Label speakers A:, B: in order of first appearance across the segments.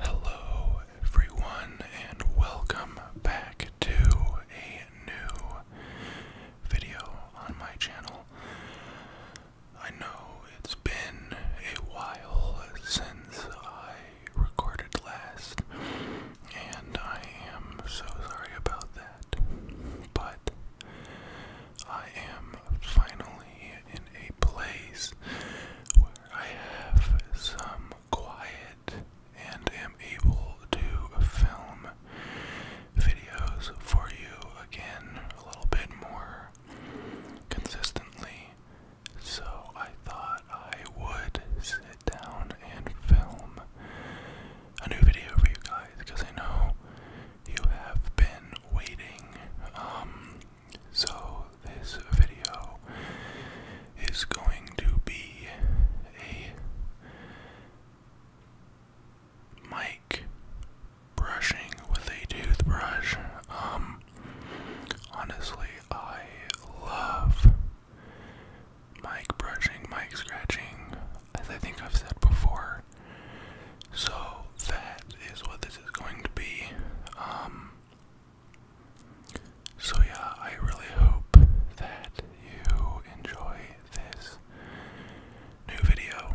A: Hello, everyone, and welcome back to a new video on my channel. I know it's been a while since I recorded last, and I am so sorry about that, but I am finally in a place where I have some quiet and am able to film videos for you again a little bit more consistently. So I thought I would sit down and film a new video for you guys because I know you have been waiting um, so, this video is going to be a mic brushing with a toothbrush. Um, honestly, I love mic brushing, mic scratching, as I think I've said before. So, that is what this is going to be. Um, so, yeah, I really hope that you enjoy this new video.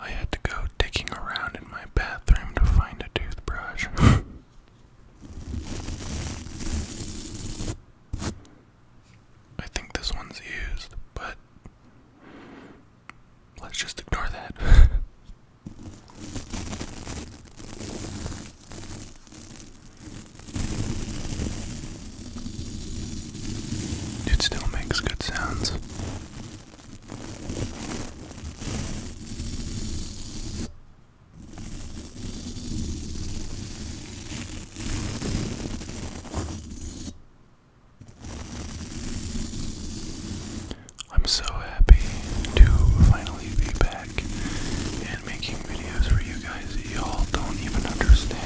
A: I had to go digging around in my bathroom to find a toothbrush. I think this one's used, but let's just ignore that. it still makes good sounds. I'm so happy to finally be back and making videos for you guys that y'all don't even understand.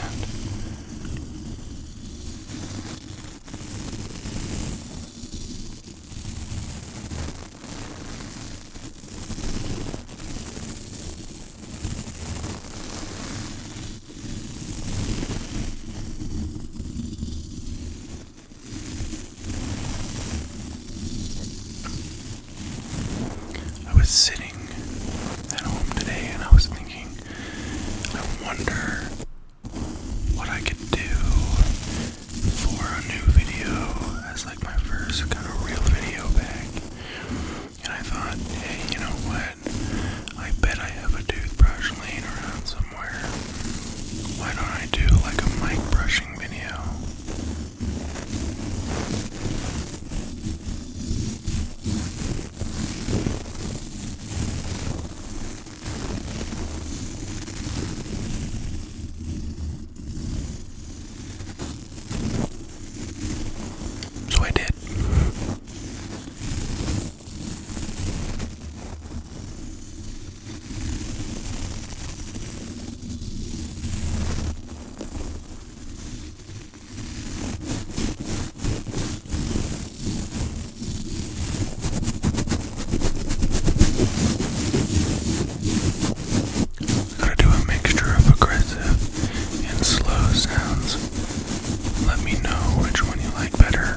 A: I was sitting at home today and I was thinking, I wonder what I could do for a new video as like my first kind of real video back. And I thought, hey, you know what? I bet I have a toothbrush laying around somewhere. Why don't I do like a mic brushing video? So I did. Gotta do a mixture of aggressive and slow sounds let me know which one you like better.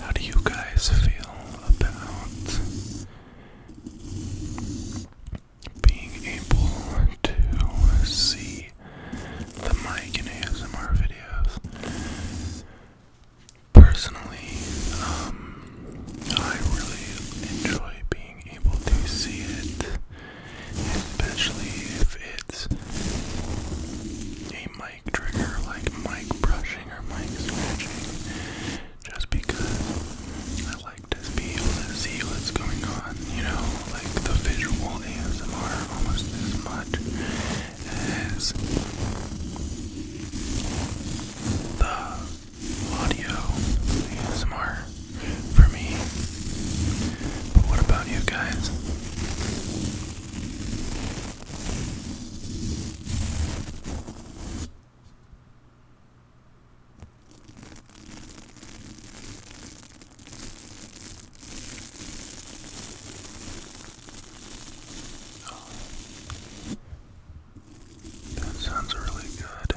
A: How do you guys feel about being able to see the mic in ASMR videos? Personally, um, I really enjoy being able to see it, especially if it's a mic trigger like mic brushing or mic scratching, just because I like to be able to see what's going on, you know, like the visual ASMR almost as much as the audio ASMR for me. But what about you guys? Oh. That sounds really good.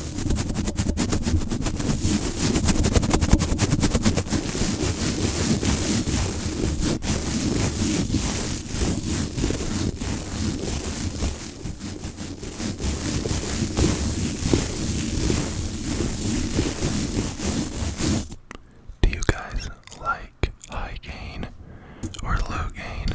A: Do you guys like high gain or low gain?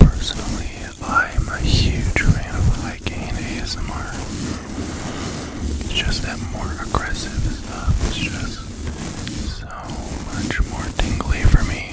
A: Personally, I'm a huge fan of hiking ASMR. just that more aggressive stuff is just so much more tingly for me.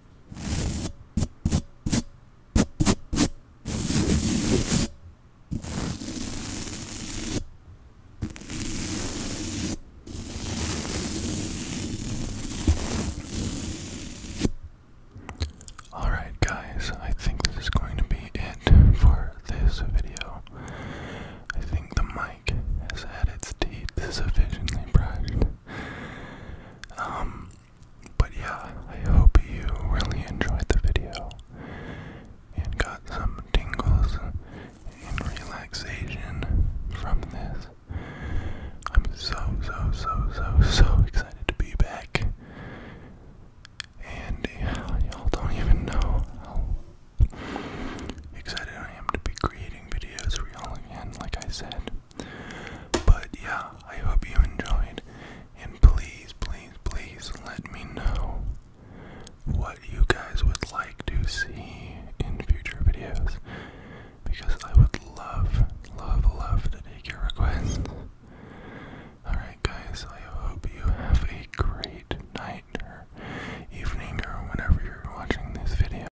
A: Alright, guys, I think this is going to be it for this video. I think the mic has had its teeth sufficiently brushed. Um, but yeah, I hope you really enjoyed the video and got some tingles and relaxation from this. I'm so, so, so, so, so excited to be back. And y'all don't even know how excited I am to be creating videos for y'all again, like I said. But yeah, I hope you enjoyed. And please, please, please let me know what you guys would like to see in future videos. Because I would love, love, love to take your requests. Alright, guys, I hope you have a great night or evening or whenever you're watching this video.